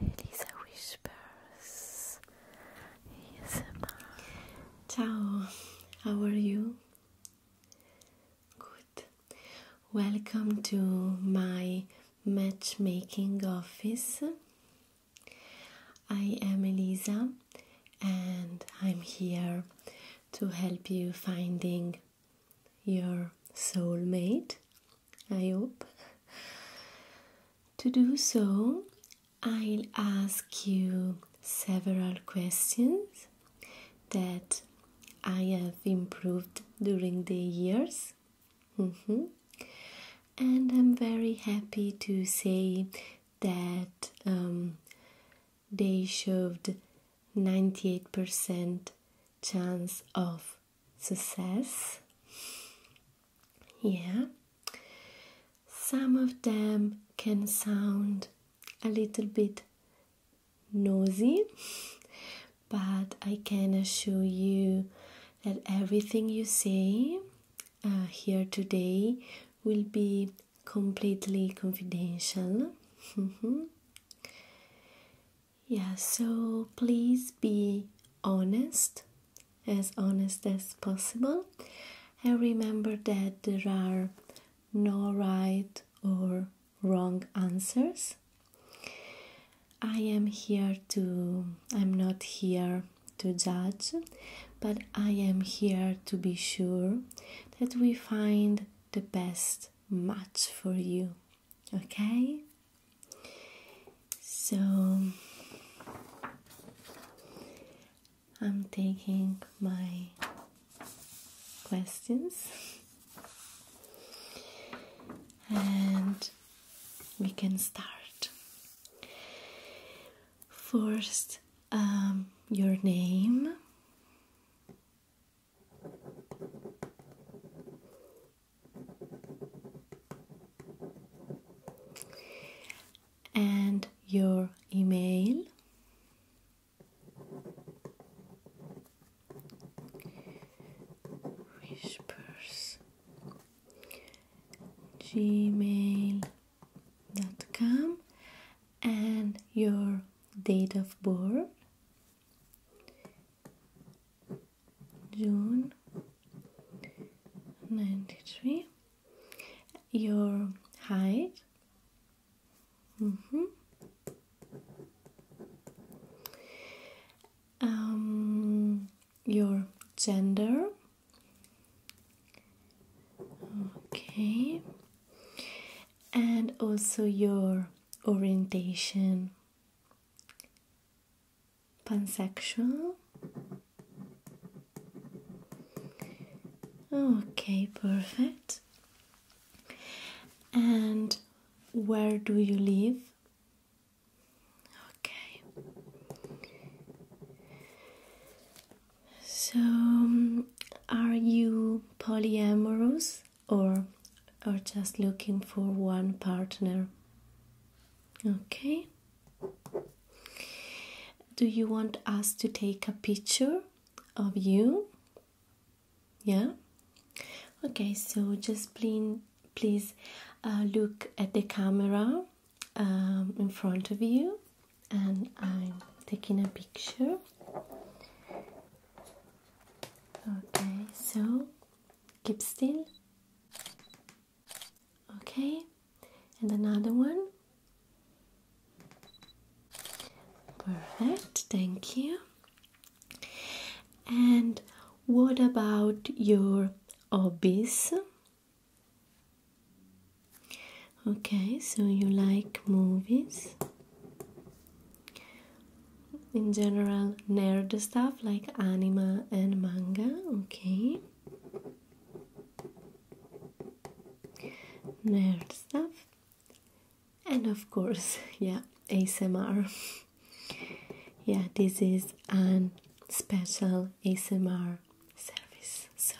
Elisa Whispers ASMR Ciao, how are you? Good. Welcome to my matchmaking office. I am Elisa and I'm here to help you finding your soulmate I hope. To do so, I'll ask you several questions that I have improved during the years. Mm-hmm. And I'm very happy to say that um, they showed 98% chance of success. Yeah, some of them can sound a little bit nosy, but I can assure you that everything you say uh, here today will be completely confidential. Mm-hmm. Yeah, so please be honest, as honest as possible, and remember that there are no right or wrong answers. I am here to, I'm not here to judge, but I am here to be sure that we find the best match for you. Okay? So I'm taking my questions and we can start. First, um, your name and your email whispers gmail.com and your date of birth June 93. Your height. Mm -hmm. Um, your gender. Okay. And also your orientation pansexual. Okay, perfect. And where do you live? Okay. So, are you polyamorous or or just looking for one partner? Okay. Do you want us to take a picture of you? Yeah. Okay, so just please, uh, look at the camera um, in front of you, and I'm taking a picture. Okay, so keep still. Okay, and another one. Perfect, thank you. And what about your hobbies? Okay, so you like movies? In general, nerd stuff like anime and manga, okay? Nerd stuff. And of course, yeah, ASMR. yeah, this is an special ASMR service. So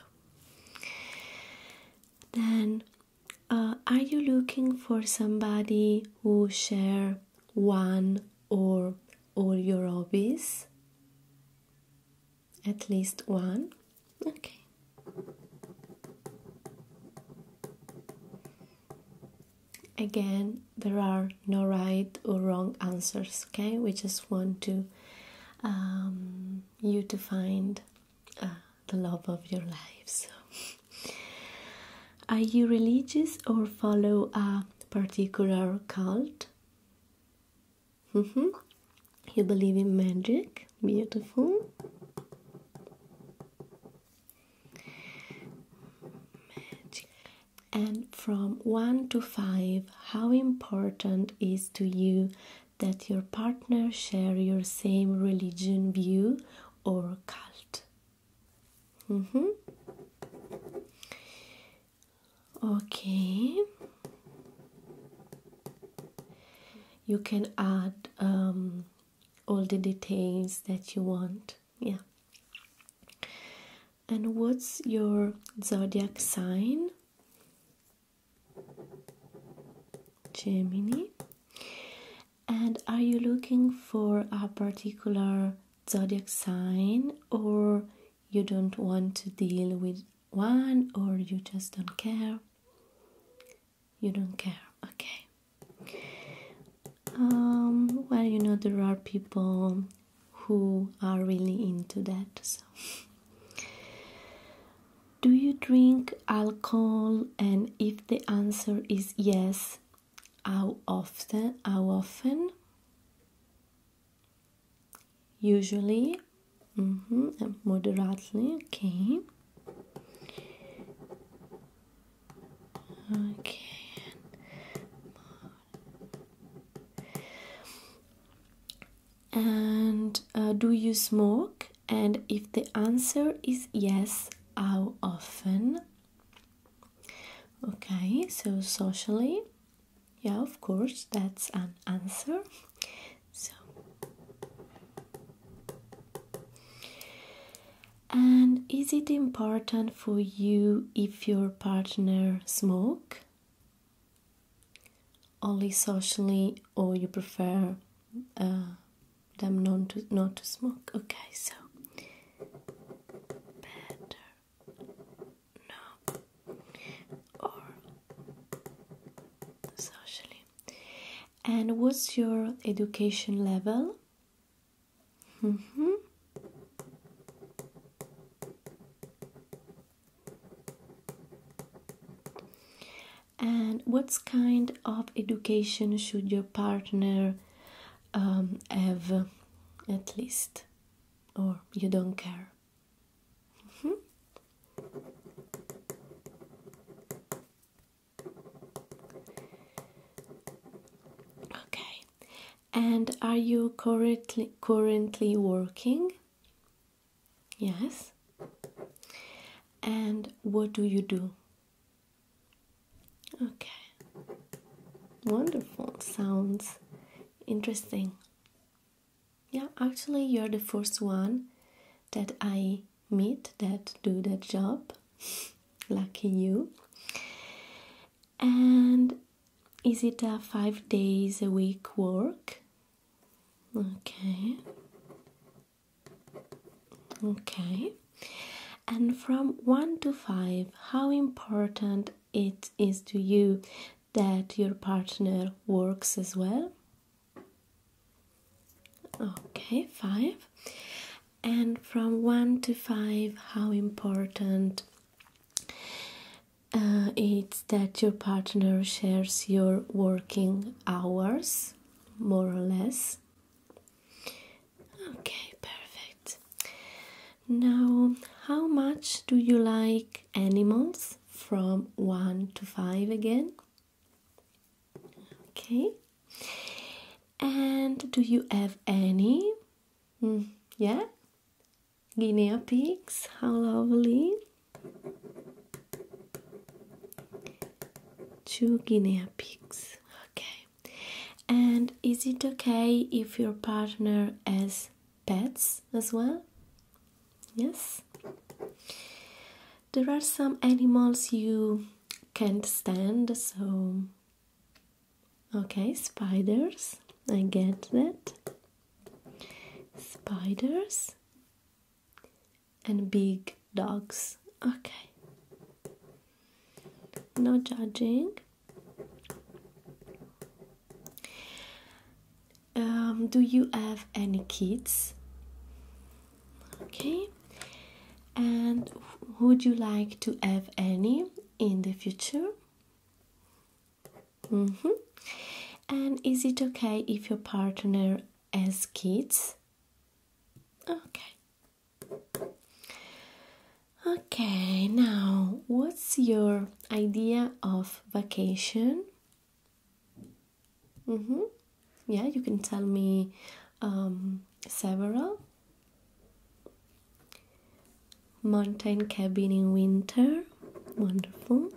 then uh, are you looking for somebody who share one or all your hobbies? At least one? Okay. Again, there are no right or wrong answers, okay? We just want to um, you to find uh, the love of your life. So. Are you religious or follow a particular cult. Mm-hmm. You believe in magic, beautiful. Magic. And from one to five, how important is to you that your partner share your same religion view or cult? Mm-hmm. Okay. You can add um, all the details that you want. Yeah. And what's your zodiac sign? Gemini. And are you looking for a particular zodiac sign or you don't want to deal with one or you just don't care you don't care okay um, well you know there are people who are really into that so do you drink alcohol and if the answer is yes how often? How often? Usually, mm-hmm, moderately. Okay. Okay. And uh, do you smoke? And if the answer is yes, how often? Okay, so socially, yeah, of course, that's an answer. So, and is it important for you if your partner smoke? Only socially, or you prefer uh, them not to not to smoke? Okay, so no, or socially. And what's your education level? Mm -hmm. And what kind of education should your partner um, have at least? or you don't care. Mm-hmm. Okay, and are you currently currently working? Yes. And what do you do? Okay. Wonderful. Sounds interesting. Yeah, actually, you're the first one that I meet that do that job. Lucky you. And is it a five days a week work? Okay. Okay. And from one to five, how important it is to you that your partner works as well? Okay, five. And from one to five, how important uh, it's that your partner shares your working hours, more or less. Okay, perfect. Now, how much do you like animals from 1 to 5 again? Okay. And do you have any? Hmm, yeah? Guinea pigs, how lovely! Two guinea pigs. Okay. And is it okay if your partner has pets as well? Yes? There are some animals you can't stand, so. Okay, spiders, I get that. Spiders and big dogs. Okay. No judging. Um, do you have any kids? Okay. And would you like to have any in the future? Mm-hmm. And is it okay if your partner has kids? Okay. Okay, now what's your idea of vacation? Mm-hmm. Yeah, you can tell me um, several. Mountain cabin in winter, wonderful.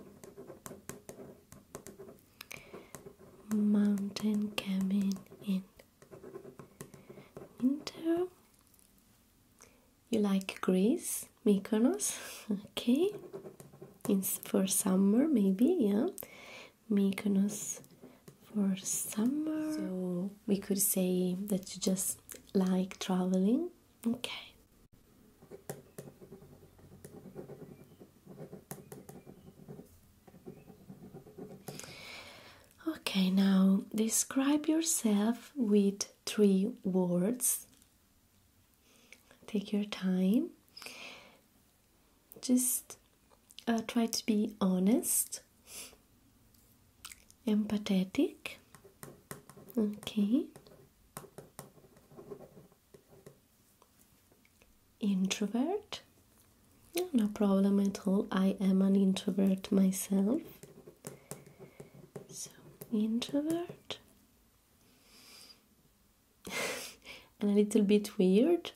Mountain cabin in winter. You like Greece, Mykonos? Okay. for summer, maybe, yeah. Mykonos for summer. So we could say that you just like traveling. Okay. Okay, now describe yourself with three words. Take your time. Just uh, try to be honest, empathetic. Okay. Introvert. No problem at all. I am an introvert myself. So, introvert and a little bit weird,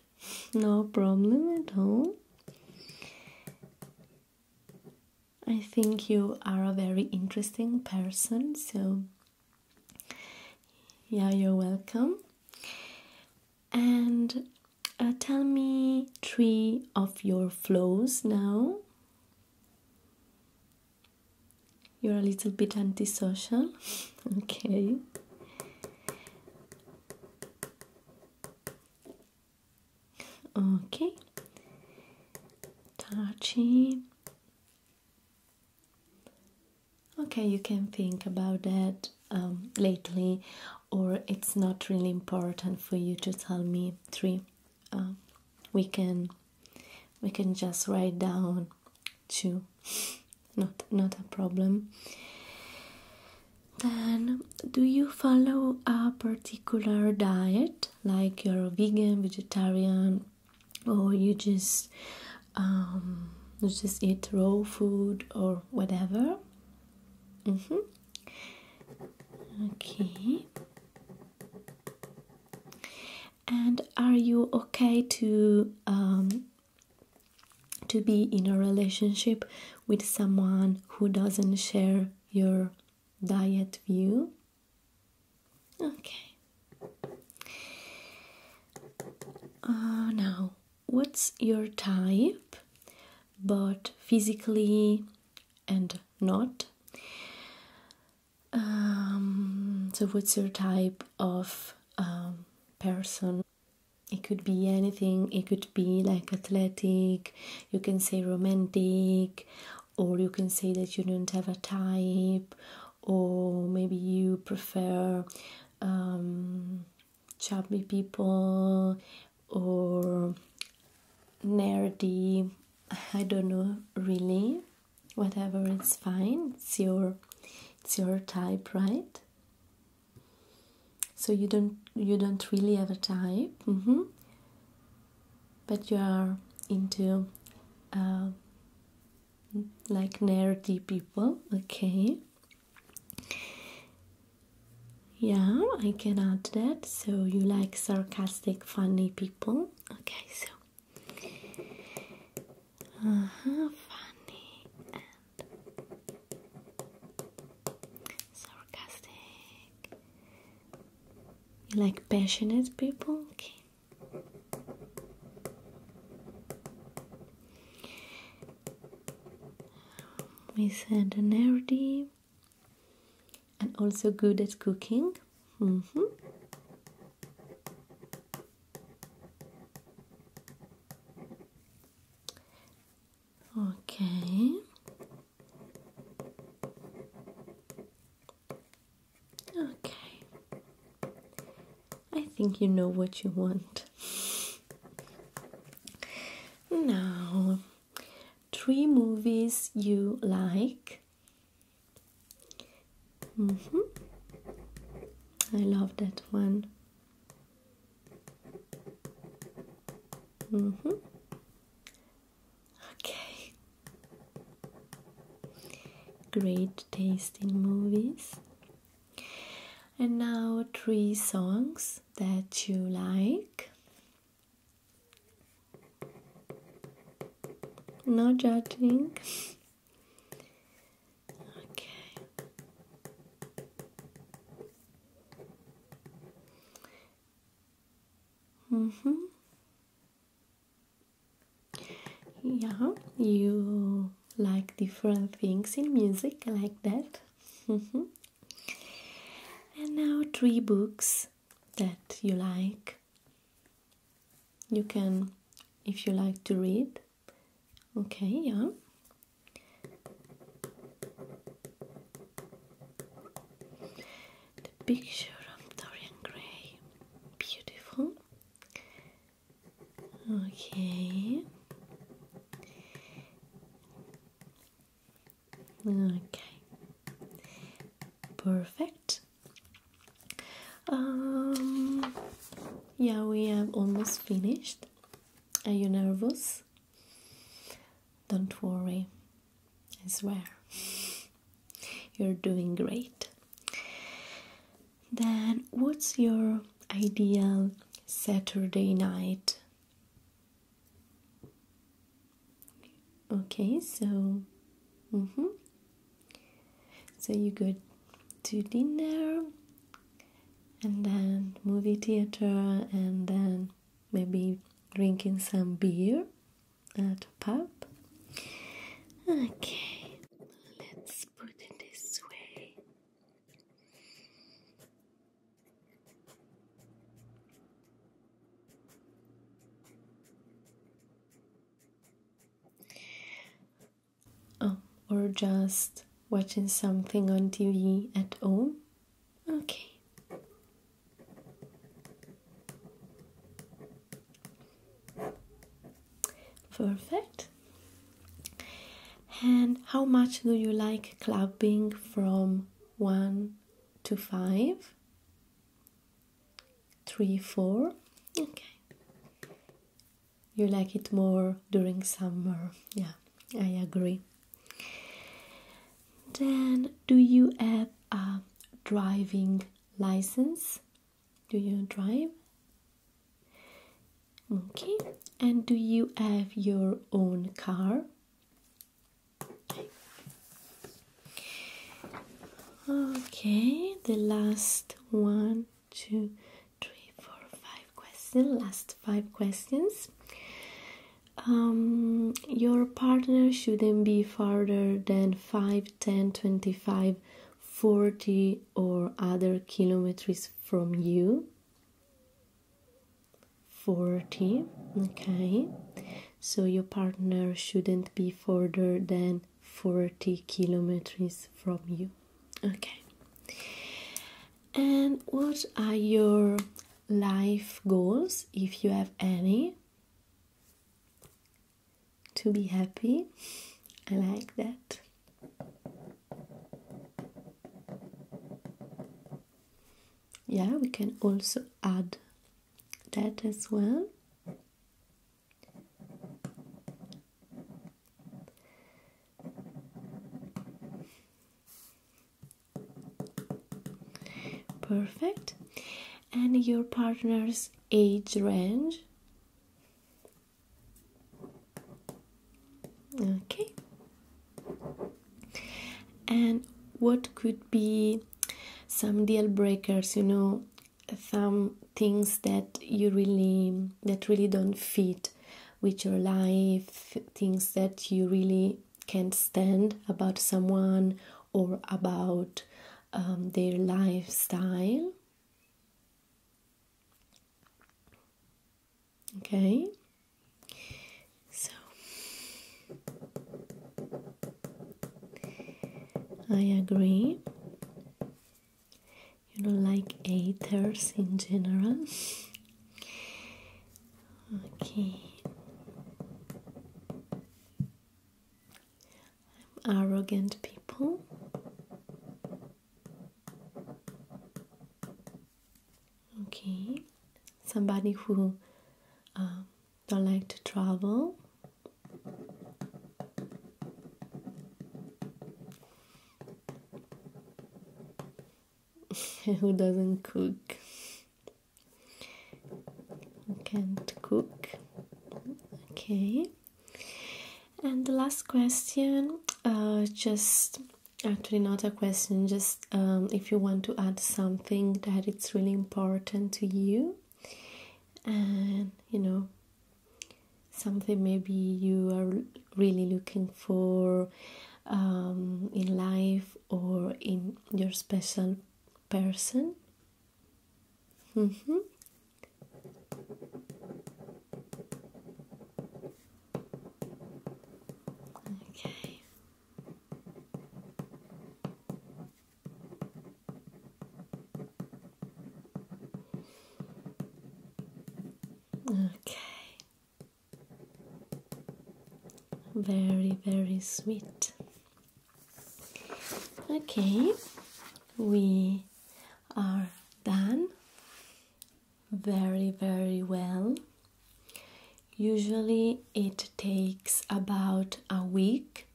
no problem at all. I think you are a very interesting person, so yeah, you're welcome. And uh, tell me three of your flows now. You're a little bit antisocial. okay. Okay. Touchy. Okay, you can think about that um, lately, or it's not really important for you to tell me three um, we can we can just write down two not not a problem then do you follow a particular diet like you're a vegan vegetarian or you just um, you just eat raw food or whatever mm-hmm. Okay. And are you okay to um, to be in a relationship with someone who doesn't share your diet view? Okay. Uh, now, what's your type? But physically, and not. Um, so, what's your type of um, person? It could be anything, it could be like athletic, you can say romantic, or you can say that you don't have a type, or maybe you prefer um, chubby people or nerdy, I don't know really. Whatever it's fine. It's your it's your type, right? So you don't you don't really have a type, mm-hmm. but you are into uh, like nerdy people, okay? Yeah, I can add that. So you like sarcasm sarcastic, funny people. Okay, so uh-huh, funny and sarcastic. You like passionate people? Okay. We said nerdy and also good at cooking. Mm -hmm. Okay. Okay. I think you know what you want. Now, three movies you like. Mm-hmm. I love that one. Mm-hmm. Okay. Great taste in movies. And now three songs that you like. No judging. okay. Mm-hmm. Yeah, you like different things in music like that. Mm -hmm. And now three books that you like. You can, if you like to read. Okay, yeah. The picture of Dorian Gray. Beautiful. Okay. Okay, perfect. Um, yeah, we have almost finished. Are you nervous? Don't worry, I swear. You're doing great. Then, what's your ideal Saturday night? Okay, so mm -hmm. so you go to dinner and then movie theater and then maybe drinking some beer at a pub. Okay, let's put it this way. Oh, or just watching something on TV at home? Okay. Perfect. And how much do you like clubbing from 1 to 5? three, four. Okay. You like it more during summer. Yeah, I agree. Then, do you have a driving license? Do you drive? Okay. And do you have your own car? Okay, the last one, two, three, four, five questions. Last five questions. Um, your partner shouldn't be farther than 5, 10, 25, 40 or other kilometers from you. 40, okay so your partner shouldn't be further than 40 kilometers from you. Okay. And what are your life goals if you have any? To be happy, I like that. Yeah, we can also add that as well. Perfect. And your partner's age range? Okay. And what could be some deal breakers you know some things that you really that really don't fit with your life things that you really can't stand about someone or about um, their lifestyle okay so I agree. You don't like ethers in general. Okay. I'm arrogant people. Okay. Somebody who um, don't like to travel. Who doesn't cook? can't cook? Okay. And the last question, uh, just actually not a question, just um, if you want to add something that it's really important to you and you know something maybe you are really looking for um, in life or in your special person. Mm-hmm. Okay. Okay. Very, very sweet. Okay, we are done very, very well. Usually it takes about a week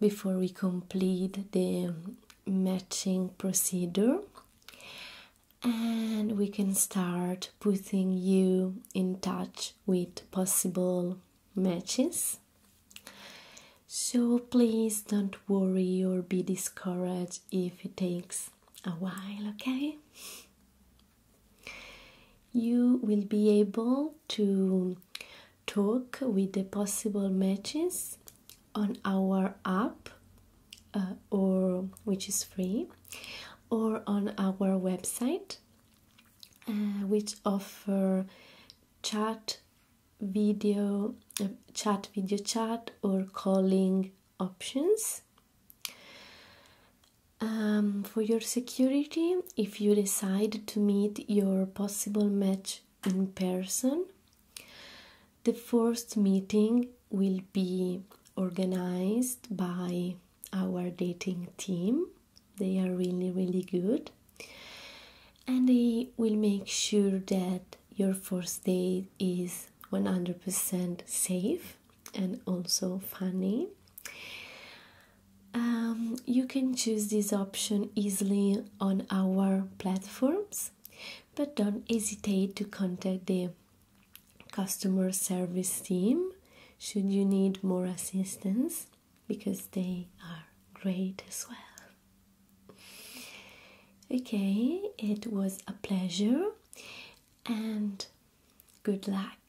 before we complete the matching procedure and we can start putting you in touch with possible matches. So please don't worry or be discouraged if it takes a while, okay? you will be able to talk with the possible matches on our app uh, or which is free or on our website uh, which offer chat video uh, chat video chat or calling options um, for your security, if you decide to meet your possible match in person, the first meeting will be organized by our dating team. They are really, really good. And they will make sure that your first date is 100% safe and also funny. Um, you can choose this option easily on our platforms, but don't hesitate to contact the customer service team should you need more assistance because they are great as well. Okay, it was a pleasure and good luck.